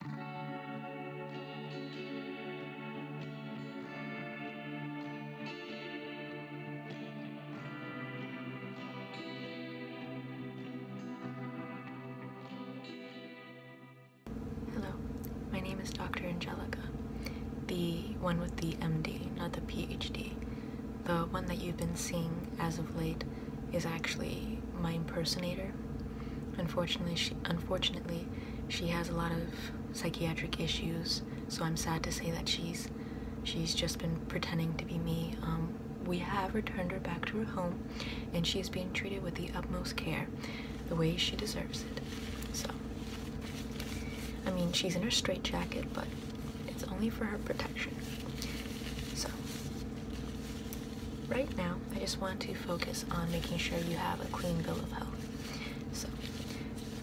Hello, my name is Dr. Angelica, the one with the MD, not the PhD. The one that you've been seeing as of late is actually my impersonator, Unfortunately, she unfortunately she has a lot of psychiatric issues, so I'm sad to say that she's she's just been pretending to be me. Um, we have returned her back to her home, and she is being treated with the utmost care, the way she deserves it. So, I mean, she's in her straitjacket, but it's only for her protection. So, right now, I just want to focus on making sure you have a clean bill of health. So,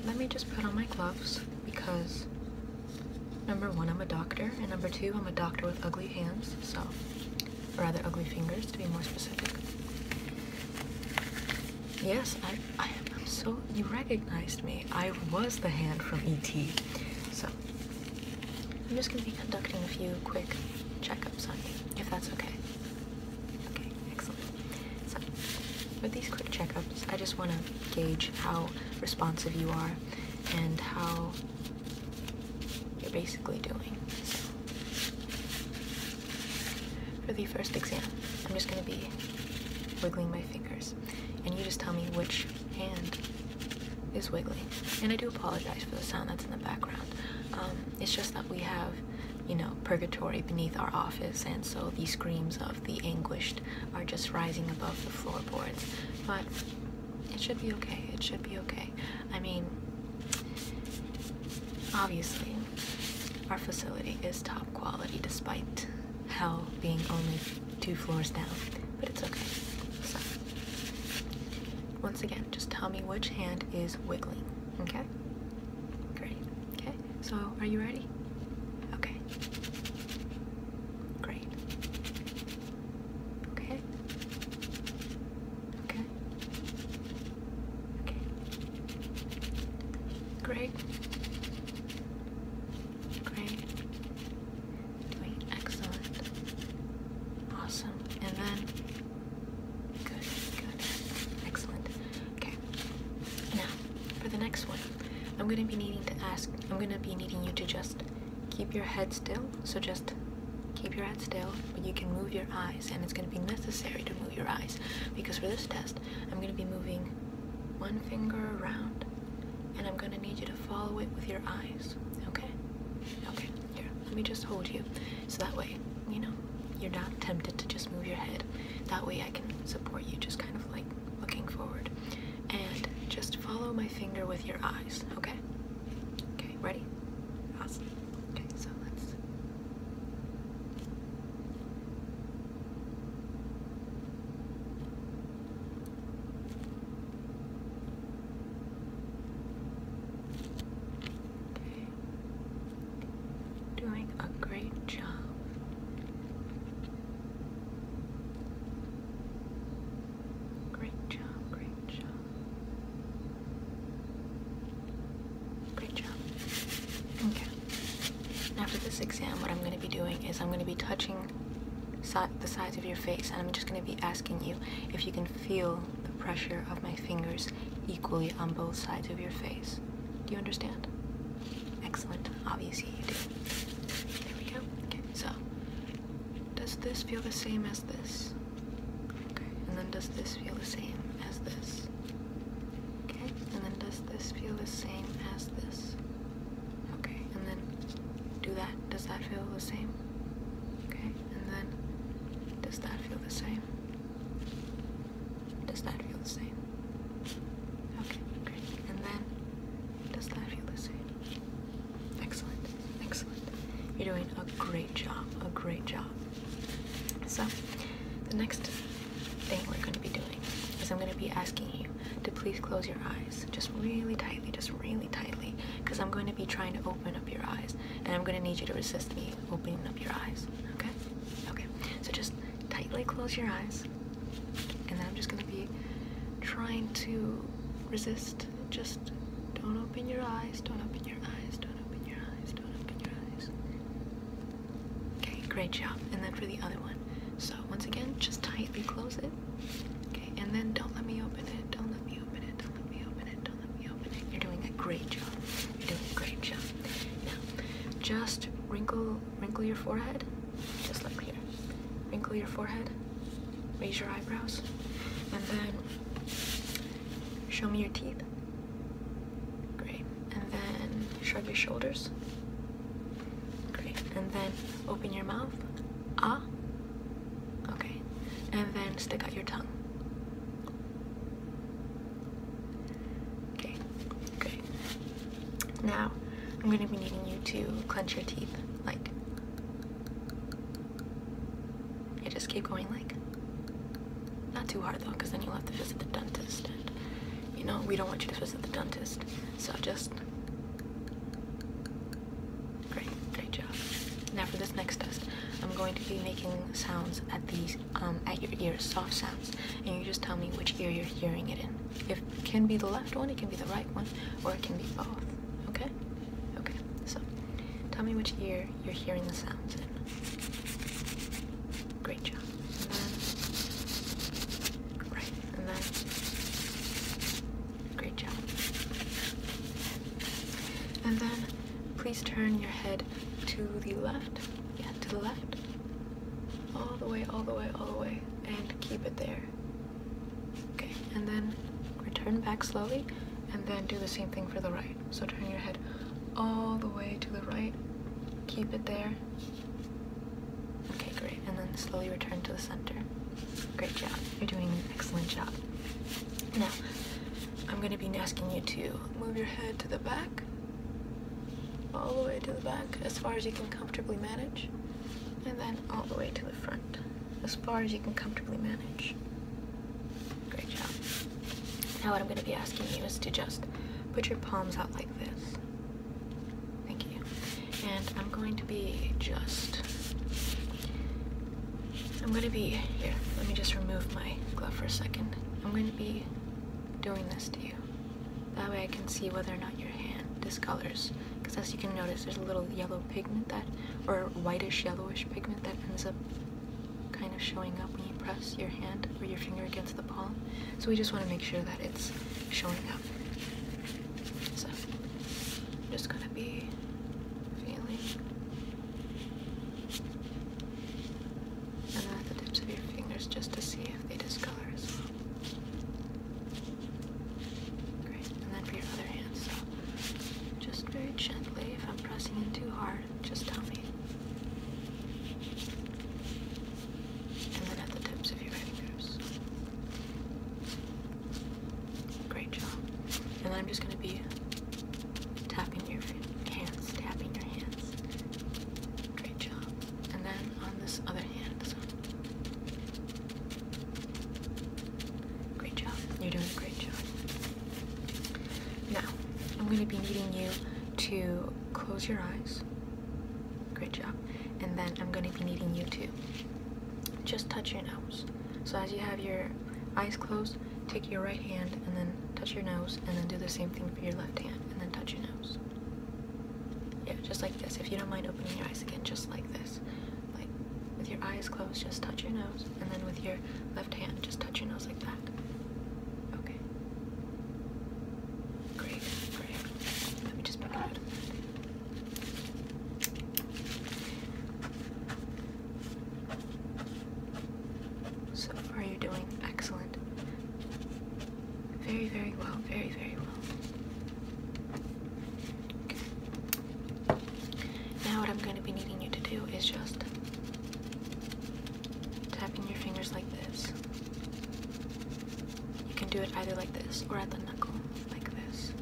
let me just put on my gloves because number one, I'm a doctor, and number two, I'm a doctor with ugly hands, so, or rather, ugly fingers to be more specific. Yes, I, I, am so, you recognized me. I was the hand from E.T. So, I'm just going to be conducting a few quick checkups on you, if that's okay. Okay, excellent. So, with these quick checkups, I just want to gauge how responsive you are and how you're basically doing. So, for the first exam, I'm just going to be wiggling my fingers, and you just tell me which hand is wiggly. And I do apologize for the sound that's in the background. Um, it's just that we have, you know, purgatory beneath our office, and so the screams of the anguished are just rising above the floorboards. But it should be okay. It should be okay. I mean, obviously, our facility is top quality despite hell being only two floors down, but it's okay. Once again, just tell me which hand is wiggling. Okay? Great. Okay, so are you ready? Okay. Great. Okay. Okay. Okay. Great. Great. Doing excellent. Awesome. And then good, good, excellent. Okay. Now, for the next one, I'm gonna be needing to ask. I'm gonna be needing you to just keep your head still. So just keep your head still, but you can move your eyes, and it's gonna be necessary to move your eyes because for this test, I'm gonna be moving one finger around, and I'm gonna need you to follow it with your eyes. Okay. Okay let me just hold you. So that way, you know, you're not tempted to just move your head. That way I can support you, just kind of like looking forward. And just follow my finger with your eyes, okay? Okay, ready? Awesome. Okay, so let's. Doing a great job. Great job, great job. Great job. Okay. After this exam, what I'm going to be doing is I'm going to be touching the sides of your face and I'm just going to be asking you if you can feel the pressure of my fingers equally on both sides of your face. Do you understand? Excellent. Obviously you do. There we go. Okay, so does this feel the same as this? Okay, and then does this feel the same as this? Okay, and then does this feel the same as this? Okay, and then do that. Does that feel the same? Okay, and then, does that feel the same? Does that feel the same? Okay, great. And then, does that feel the same? Excellent, excellent. You're doing a great job, a great job. So, the next thing we're going to be doing is I'm going to be asking you to please close your eyes just really tightly, just really tightly, because I'm going to be trying to open open your eyes. And I'm gonna need you to resist me opening up your eyes. Okay? Okay. So just tightly close your eyes. And then I'm just gonna be trying to resist. Just don't open your eyes, don't open your eyes, don't open your eyes, don't open your eyes. Okay, great job. And then for the other one. So once again, just tightly close it. Okay, and then don't let me open it. Don't let me open it. Don't let me open it. Don't let me open it. You're doing a great job. You're doing a great job. Now, just wrinkle wrinkle your forehead. Just like here. Wrinkle your forehead. Raise your eyebrows. And then show me your teeth. Great. And then shrug your shoulders. Great. And then open your mouth. Ah. Okay, and then stick out your tongue. Okay, great. Now, I'm going to be needing you to clench your teeth, like. You just keep going, like. Not too hard though, because then you'll have to visit the dentist, you know, we don't want you to visit the dentist. So just Great, great job. Now for this next test, I'm going to be making sounds at these um, at your ears, soft sounds, and you just tell me which ear you're hearing it in. it can be the left one, it can be the right one, or it can be both. Okay? Okay. So, tell me which ear you're hearing the sounds in. Great job. right, and then Great job. And then please turn your head to the left. Yeah, to the left. All the way, all the way, all the way. And keep it there. Okay, and then return back slowly and then do the same thing for the right. So turn your head all the way to the right. Keep it there. Okay, great. And then slowly return to the center. Great job. You're doing an excellent job. Now, I'm going to be asking you to move your head to the back, all the way to the back, as far as you can comfortably manage, and then all the way to the front, as far as you can comfortably manage. Great job. Now what I'm going to be asking you is to just put your palms out like this. Thank you and I'm going to be just I'm going to be here. Let me just remove my glove for a second. I'm going to be doing this to you. That way I can see whether or not your hand discolors. Because as you can notice, there's a little yellow pigment that, or whitish yellowish pigment that ends up kind of showing up when you press your hand or your finger against the palm. So we just want to make sure that it's showing up. So just gonna be feeling and at the tips of your fingers just to see if they discolor as well. Great, and then for your other hand, so just very gently, if I'm pressing in too hard, just tell me. And then at the tips of your fingers. Great job. And I'm just going to be tapping your hands, tapping your hands. Great job. And then on this other hand, Great job. You're doing a great job. Now, I'm going to be needing you to close your eyes. Great job. And then I'm going to be needing you to just touch your nose. So as you have your eyes closed, take your right hand and then touch your nose and then do the same thing for your left hand and then touch your nose. Yeah, just like this. If you don't mind opening your eyes again, just like this. Like with your eyes closed, just touch your nose and then with your left hand, just touch your nose like that. Okay. Great, great. Let me just pick it so are you doing excellent. Very, very well. Very, very well. Okay. Now what I'm going to be needing you to do is just tapping your fingers like this. You can do it either like this or at the knuckle like this,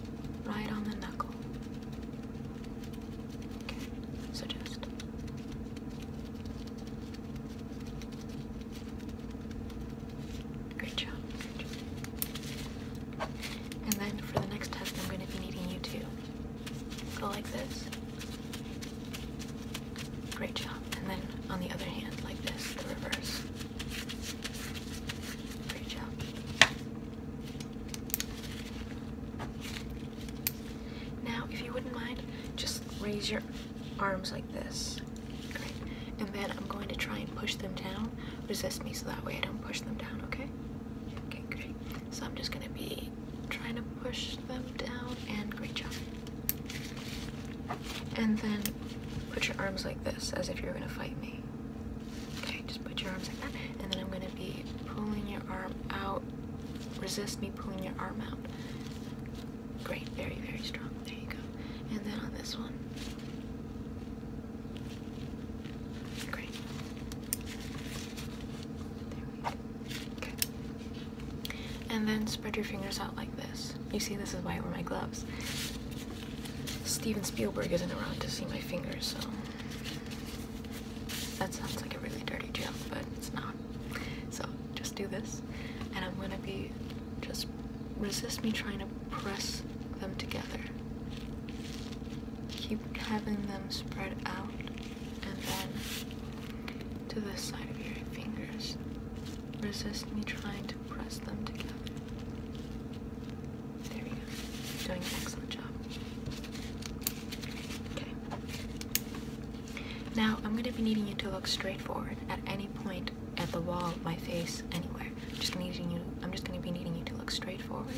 right on the knuckle. Okay, so just. Great job, And then for the next test, I'm going to be needing you to go like this. Great job. And then on the other hand, like this, the reverse. Great job. Now, if you wouldn't mind, just raise your arms like this. And then I'm going to try and push them down. Resist me so that way I don't push them down, okay? Okay, great. So I'm just going to be trying to push them down, and great job. And then put your arms like this, as if you're going to fight me. Okay, just put your arms like that, and then I'm gonna be pulling your arm out. Resist me pulling your arm out. Great, very, very strong. There you go. And then on this one. Great. There we go. Okay. And then spread your fingers out like this. You see, this is why I wear my gloves. Steven Spielberg isn't around to see my fingers, so that sounds like a really dirty joke, but it's not. So just do this, and I'm gonna be just resist me trying to press them together. Keep having them spread out, and then to this side of your fingers. Resist me trying to press them together. There we go. You're doing an excellent job. Okay. Now I'm going to be needing you to look straight forward at any point at the wall, my face, anywhere. I'm just needing you. I'm just going to be needing you to look straight forward,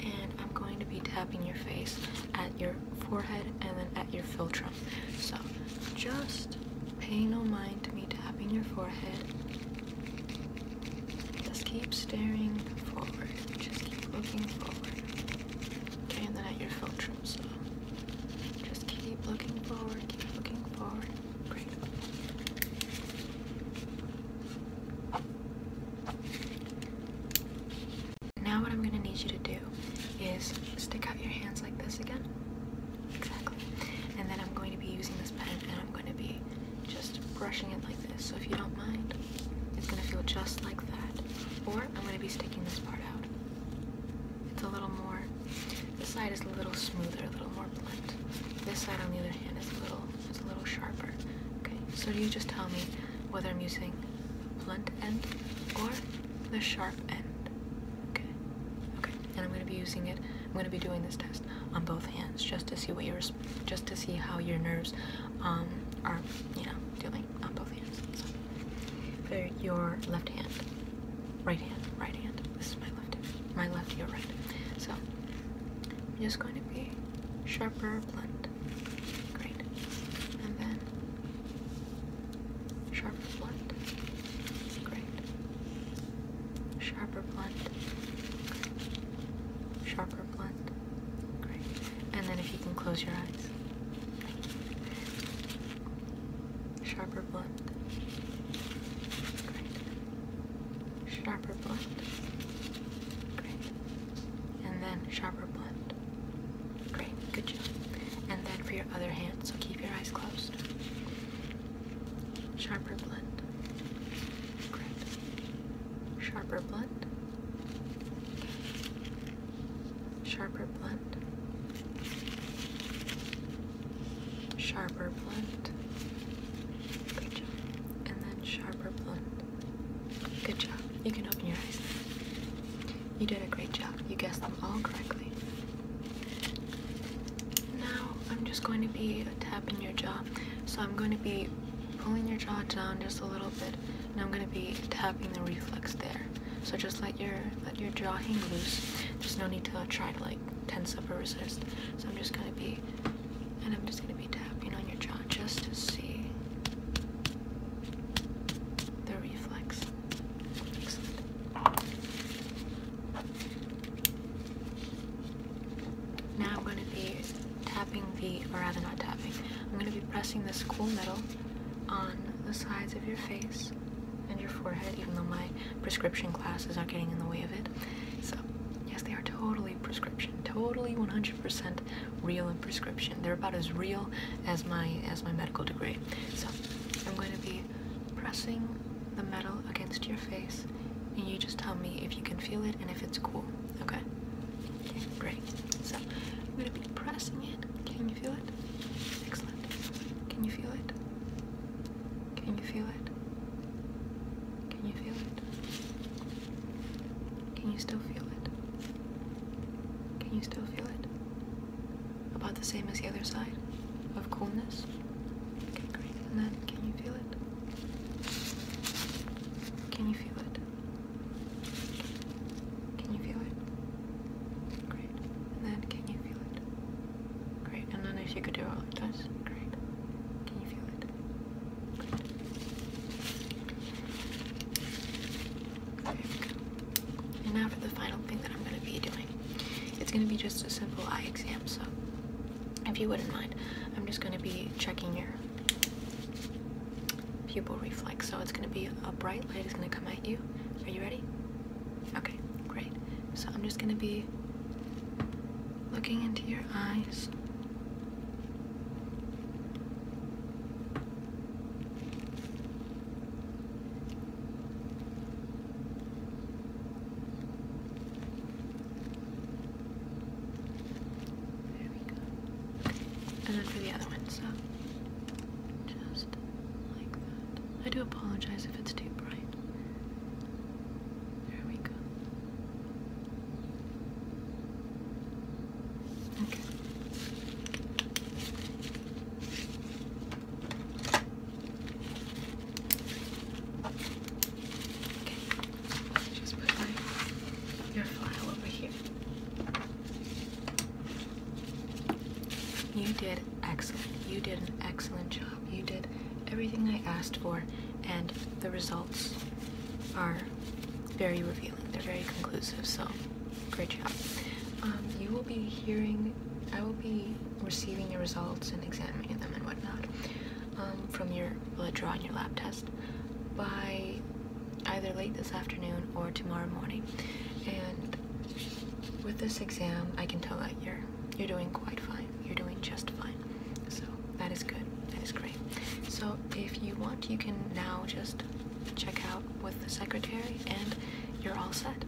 and I'm going to be tapping your face at your forehead and then at your philtrum. So just Pay no mind to me tapping your forehead. Just keep staring forward. Just keep looking forward. Okay, and then at your filtrum, so just keep looking forward, keep looking forward. Great. Now what I'm gonna need you to do is stick out your hands like this again. Exactly. And then I'm going to be using this pen and I'm going to be just brushing it like this. So if you don't mind, it's going to feel just like that. Or I'm going to be sticking this part out. It's a little more, this side is a little smoother, a little more blunt. This side on the other hand is a little, is a little sharper. Okay, so you just tell me whether I'm using blunt end or the sharp end. Okay, okay, and I'm going to be using it I'm going to be doing this test on both hands just to see what yours, just to see how your nerves um, are, you know, doing on both hands. So, for your left hand, right hand, right hand. This is my left my left, your right. So, just going to be sharper, blunt. Great. And then sharp, blunt. Great. Sharper blunt. Great. Sharper blunt. Great. And then if you can close your eyes. Sharper blunt. Great. Sharper blunt. Great. And then sharper blunt. Great. Good job. And then for your other hand, so keep your eyes closed. Sharper blend. Great. Sharper blend. Sharper blend. Sharper blend. Good job. And then sharper blend. Good job. You can open your eyes You did a great job. You guessed them all correctly. Now I'm just going to be tapping your jaw. So I'm going to be pulling your jaw down just a little bit and I'm going to be tapping the reflex there. So just let your let your jaw hang loose. There's no need to try to like tense up or resist. So I'm just going to be and I'm just going to be tapping on your jaw just to see the reflex. Now I'm going to be tapping the, or rather not tapping, I'm going to be pressing this cool metal on the sides of your face and your forehead, even though my prescription glasses are getting in the way of it. So, yes, they are totally prescription, totally 100% real and prescription. They're about as real as my as my medical degree. So, I'm going to be pressing the metal against your face and you just tell me if you can feel it and if it's cool. Okay? Okay, great. So I'm gonna be pressing it. Can you feel it? Excellent. Can you feel it? Can you feel it? Can you feel it? Can you still feel it? Can you still feel it? About the same as the other side of coolness? great. And then, can you feel it? Can you feel it? Can you feel it? Great. And then, can you feel it? Great. And then, if you could do it like this, great. Can you feel it? And now for the final thing that I'm going to be doing. It's gonna be just a simple eye exam, so if you wouldn't mind, I'm just gonna be checking your pupil reflex. So it's gonna be a bright light is gonna come at you. Are you ready? Okay, great. So I'm just gonna be looking into your eyes. There we go. And then for the other one, so just like that. I do apologize if it's too bright. There we go. Okay. Just put your file over here. You did excellent. You did an excellent job. You did everything I asked for, and the results are very revealing. They're very conclusive. So, great job. Um, you will be hearing. I will be receiving your results and examining them and whatnot um, from your blood draw and your lab test by either late this afternoon or tomorrow morning. And with this exam, I can tell that you're you're doing quite fine. You're doing just fine. So that is good. That is great. So if you want, you can now just check out with the secretary, and you're all set.